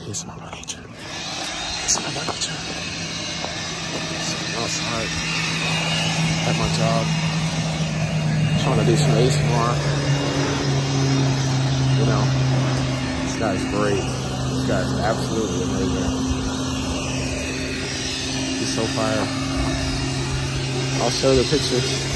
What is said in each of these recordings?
He's my manager. He's my manager. creature. Something else hard. At my job. Trying to do some ASMR. You know, this guy's great. This guy's absolutely amazing. He's so fire. I'll show the pictures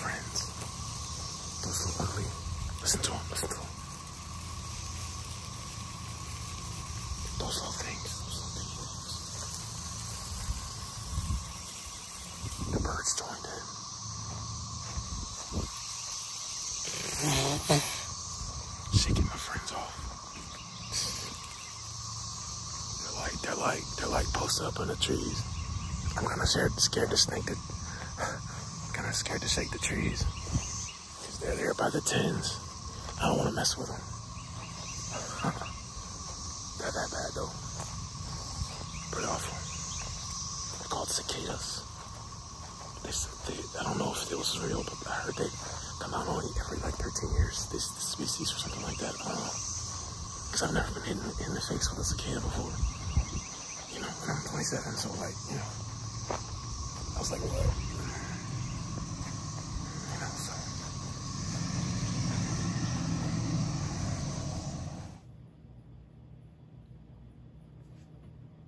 friends. Those little ugly. Listen to him, listen to him. Those little things, those little big bugs. The birds joined in. Shaking my friends off. They're like, they're like, they're like posted up in the trees. I'm kind of scared, to snake the, I'm kind of scared to shake the trees. Because they're there by the tens. I don't want to mess with them. Not that bad though. Pretty awful. They're called cicadas. They, they, I don't know if this is real, but I heard they come out only every like 13 years, this, this species or something like that. Because I've never been hit in, the face with a cicada before. You know, and I'm 27, so like, you know. I was like, what? You know, so.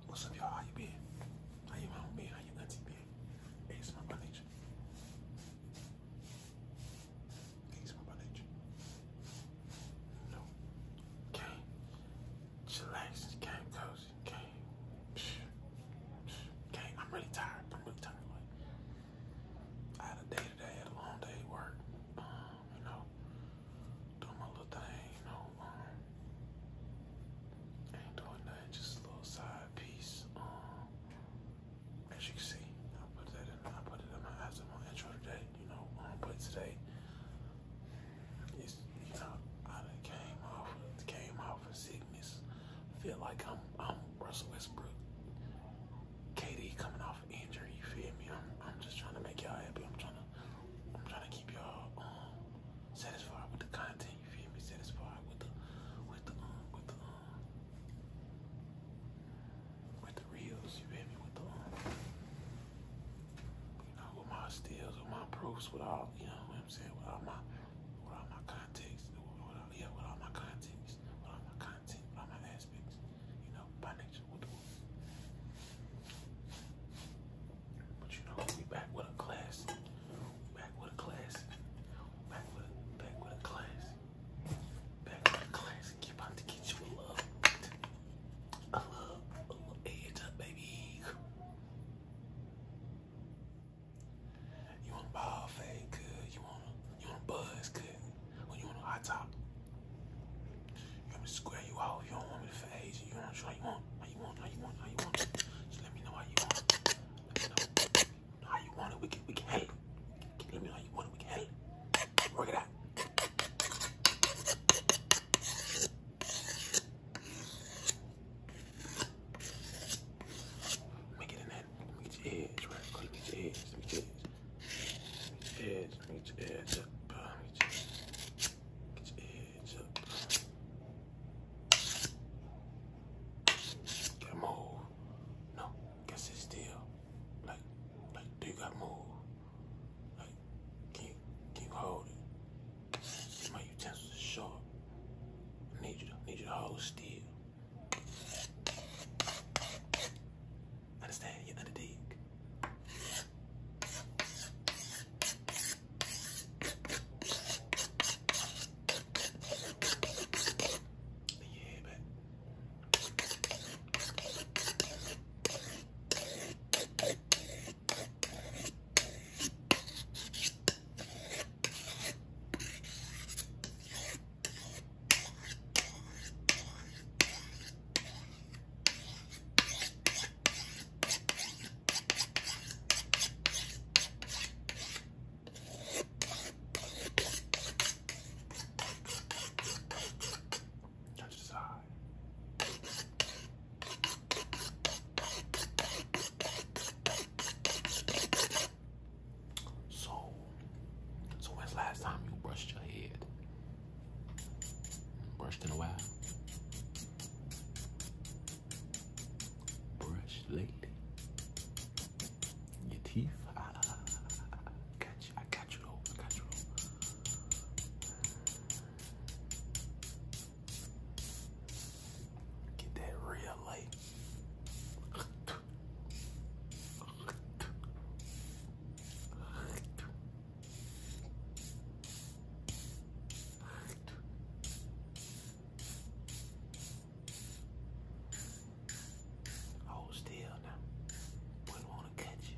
What's up, y'all? How you been? How your mom been? How your auntie been? Hey, it's my by nature. Hey, it's my by nature. You know, game, chillax, game code. Okay. came. I'm really tired. I'm really tired. I had a day today. had a long day at work. Um, you know, doing my little thing. You know, um, ain't doing nothing. Just a little side piece. Um, as you can see, I put that in. I put it in my eyes my intro today. You know, um, but today. It's, you know, I came off, came off out for sickness. I feel like I'm I'm Russell Westbrook. KD coming off an injury, you feel me? I'm I'm just trying to make y'all happy. I'm trying to I'm trying to keep y'all um satisfied with the content, you feel me? Satisfied with the with the um with the um with the reels, you feel me? With the um you know, with my steals, with my proofs, with all you know what I'm saying, with all my with all my contacts, with all, yeah, with all my contacts, with all my content, with all my aspects, you know, by nature with the world. But you know, we back with a class, back with a class, back with a, back with a class, back with a class, and keep out to get you a love, a love, a love edge up, baby. You want a ball fade? Good. You want a, you want a buzz? Good. Or you want a hot top? You want me to square you out? You don't want me to fade you? You want how you want? How you want? How you want? How you want? Just let me know how you want. Let me know how you want it. We can we can handle it. Let me know how you want it. We can handle it. Work it out. Let me get in there. Let me get your edge, right? Let me get your edge. Let me get your edge. Let me get your edge up. Get your edge up. Gotta move. No, gotta sit still. Like, like, do you gotta move? Like, can you, can you hold it? See, my utensils are sharp. I need you to need you to hold still. Understand? You under dig. Then you Touch the side. So, so when's last time you brushed your head? Brushed in a while. Brush lady. Your teeth. I, you. I got you I got you Get that real light. Hold still now. Wouldn't want to catch you.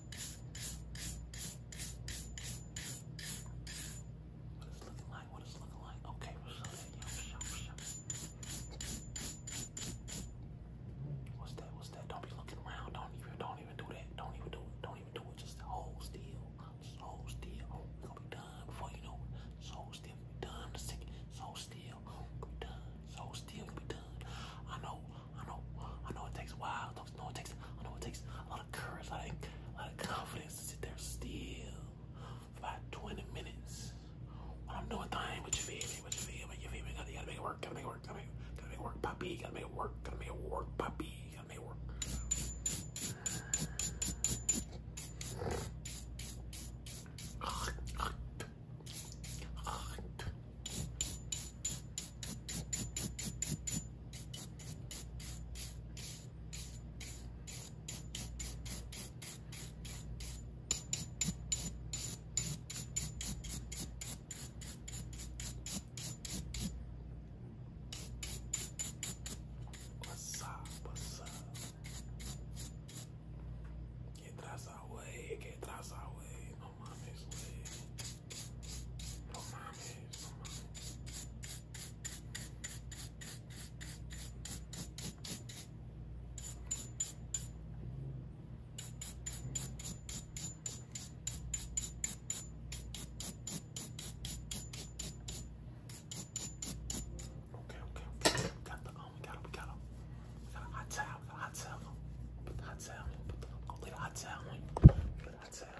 What is it looking like? What is it looking like? Okay, what's that? What's that? Don't be looking around. Don't even don't even do that. Don't even do it. Don't even do it. Just hold still. hold still. Oh, we're gonna be done before you know it. Just hold still. we be done in second. So still. we be done. So still. we be done. I know I know, I know it takes a while. I know it takes, I know it takes a lot of courage, a lot of, a lot of confidence to sit there still for about 20 minutes. When I'm doing thing, what you feel me, what you feel me, you feel me, you gotta make it work, gotta make it work, gotta make it work, gotta make it work, poppy, gotta make it work, gotta make it work, poppy, gotta make it work. What's up? What's up? Que traza, wey, que traza, wey no mommy's league. No mommies, no mommies. Okay, okay, okay. We got the um, we got it, we got it. We got a hot towel, we got a hot towel. Put the hot towel on, put the, I'll leave the hot towel on. Put the hot towel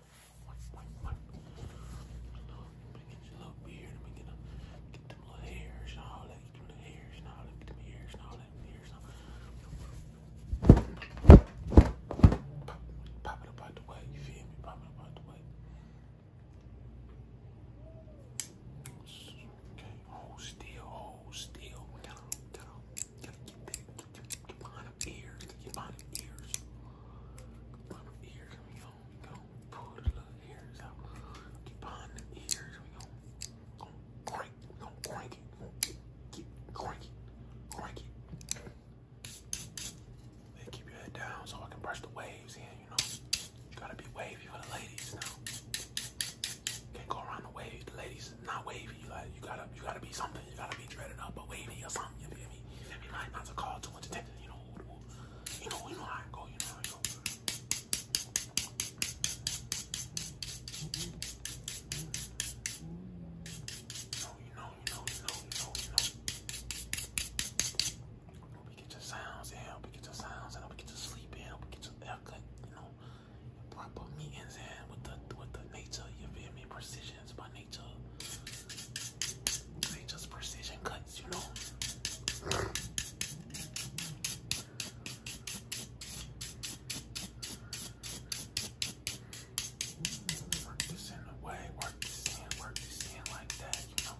I'm get them, little hairs and all that. Get them little hairs and all that. Get them hairs and all that. Hairs Pop, it up out the way. You feel me? Pop it up out the way. Okay. Hold still. Hold still got behind them ears, behind them ears, behind them ears, and we going pull the little ears out, get behind them ears, and we gonna, crank, we going crank it, we crank it, crank it. Then keep your head down so I can brush the waves in, you know. You gotta be wavy for the ladies now. Can't go around the wave. The ladies not wavy country. You gotta, you gotta, you gotta be something. You gotta be dreaded up or wavy or something. You feel me? You feel me? Like not to call too much attention. You know, you know, you know how I go. You know how I go. You know, you know, you know, you know, you know. We get your sounds in. We get your sounds in. We get your sleep in. We get your haircut. You know, proper meetings in with the with the nature. You feel me? Precisions, but nature. Nature's precision cuts, you know. Work this in the way, work this in, work this in like that, you know.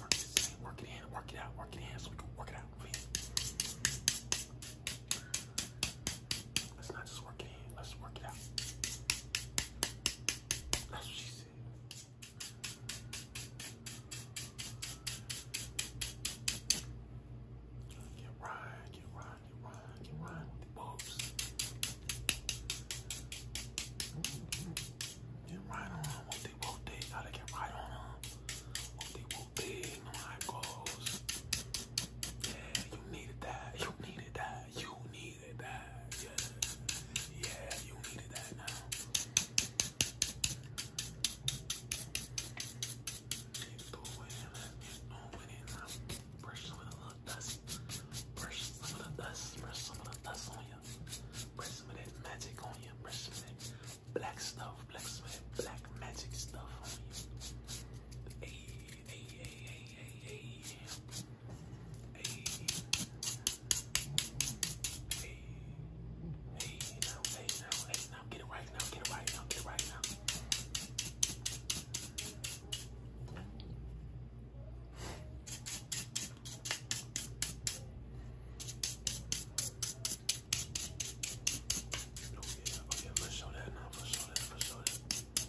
Work this in, work it in, work it out, work it in so we can work it out. Let's not just work it in. Let's work it out. That's what she said. Get right, get right, get right, get right with the bulbs. Get right on them. they want, they gotta get right on them. they want, they know how it yeah, you needed that. You needed that. You needed that. Yeah, yeah, you needed that now. Keep going. Keep going. Now, brush some of the dust. Brush some of the dust. Brush some of the dust on you. Brush some of that magic on you. Brush some of that black stuff. Black some of that black magic stuff on you. Hey, hey, hey, hey, hey, now, hey, now, hey, now, get it right now, get it right now, get it right now. Oh yeah, oh yeah, for that now, for sure that, for sure that.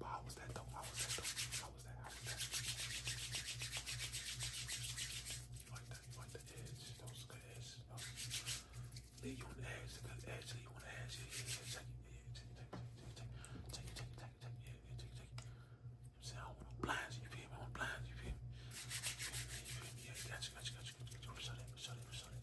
But how was that though? How was that though? How was that? How was that? You like that? You like the edge? That was a good edge. No. Leave you on the edge. Good edge. Leave you on the edge. Yeah, yeah, yeah. Take it. Yeah, take it. Take it. Take it. Take it. Take it. Take it. Take it. Yeah, yeah. Take it. Take it. I'm saying I don't want no blinds. You feel me? I want blinds. You feel me? You feel me? You feel me? Yeah, gotcha. Gotcha. Gotcha. Gotcha. Gotcha. Shut it. Shut it. Shut it.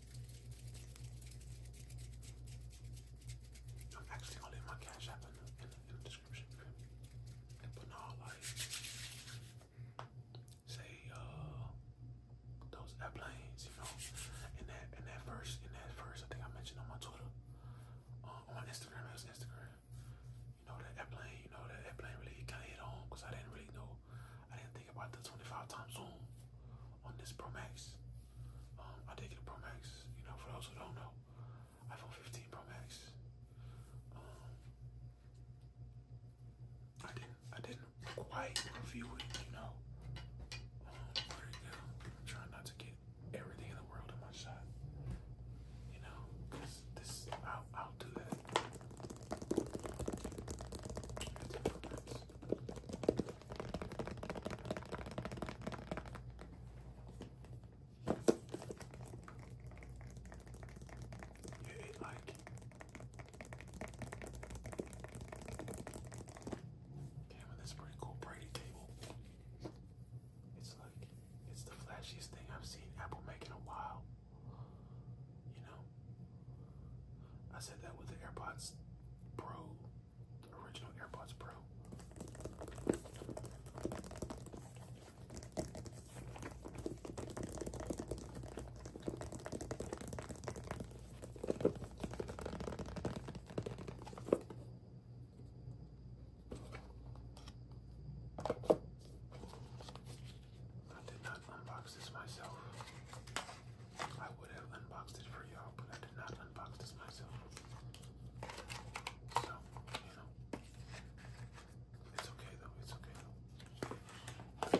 No, actually, I'll leave my cash app in the, description and put all like say uh those airplanes, you know. In that in that verse, in that verse, I think I mentioned on my Twitter, uh, on Instagram, Instagram. You know that airplane, you know that airplane really got hit on because I didn't really know I didn't think about the 25 times zoom on this Pro Max. Um, I did get a Pro Max, you know, for those who don't know, iPhone 15 Pro Max. Um, I didn't, I didn't quite review it, you know. Um, I'm trying not to get everything in the world in my shot, you know, because this, I'll, I'll do that. It's you like Damn, that's pretty cool Brady table. It's like it's the flashiest thing I've seen Apple make in a while. You know? I said that with the AirPods Pro, the original AirPods Pro. I did not unbox this myself. I would have unboxed it for y'all, but I did not unbox this myself. So, you know, it's okay though, it's okay though.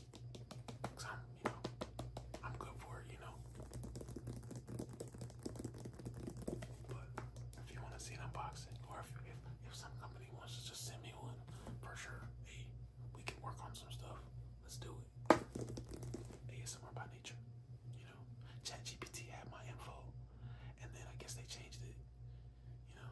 i I'm, you know, I'm good for it, you know. But if you want to see an unboxing, or if, if if some company wants to just send me one, for sure. Hey, we can work on some stuff. Let's do it. ASMR by nature, you know. ChatGPT had my info, and then I guess they changed it, you know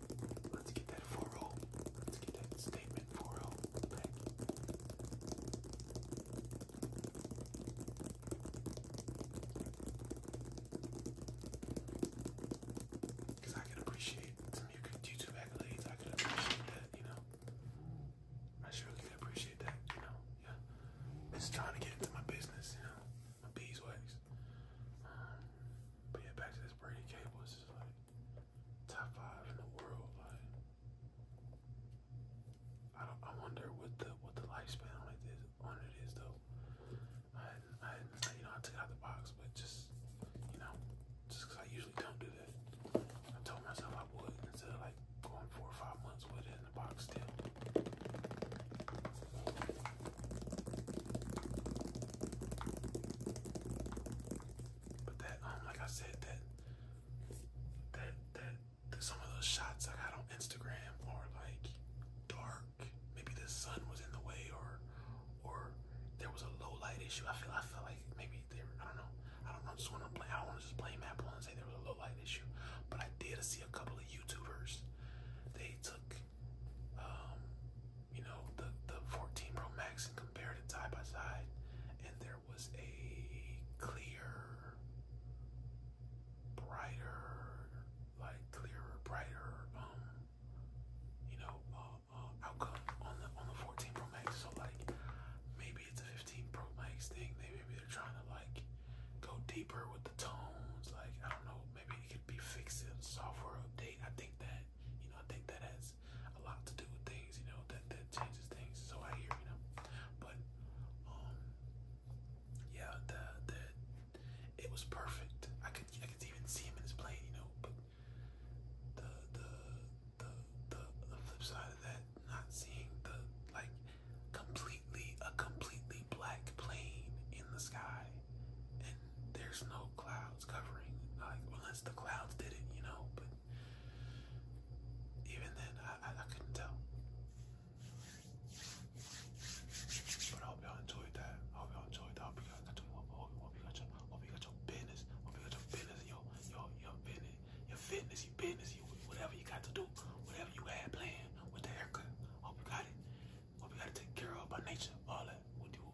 Let's get that 4 Let's get that statement 4 Because I can appreciate some YouTube accolades. I can appreciate that, you know. I surely can appreciate that, you know. Yeah. It's trying to get into my business, you know. My beeswax. Um, but yeah, back to this Brady Cable top five in the world. I don't. I wonder what the what the lifespan on it is. On it is though. I, I, you know, I took it out the box, but just you know, just because I usually don't do that. I told myself I would instead like going four or five months with it in the box still. But that, um, like I said, that that that, some of those shots I got on Instagram are like dark. Maybe the sun was in the way, or or there was a low light issue. I feel I feel like maybe there. I don't know. I don't know. I Just want to blame. I want to just blame Apple and say there was a low light issue. But I did see a couple of YouTubers. They took um, you know, the, the 14 Pro Max and compared it side by side, and there was a clear, brighter, like clearer, brighter, um, you know, uh, uh, outcome on the on the 14 Pro Max. So like, maybe it's a 15 Pro Max thing. maybe they're trying to like go deeper with the tones. Like I don't know. Maybe it could be fixing software update. I think that you know, I think that has a lot to do with things, you know, that that changes things. So I hear, you know, but um, yeah, the the it was perfect. I could I could even see him in his plane, you know, but the the the the, flip side of that, not seeing the like completely a completely black plane in the sky and there's no clouds covering, like unless the clouds did it, you know. But even then, I, I, couldn't tell. But I hope y'all enjoyed that. I hope y'all enjoyed that. I hope you got your, hope, you got your, hope you got your business. Hope you got your business, your your your business, your fitness, your business, your, whatever you got to do, whatever you had planned with the haircut. Hope you got it. Hope you got it taken care of by nature, all that. we do.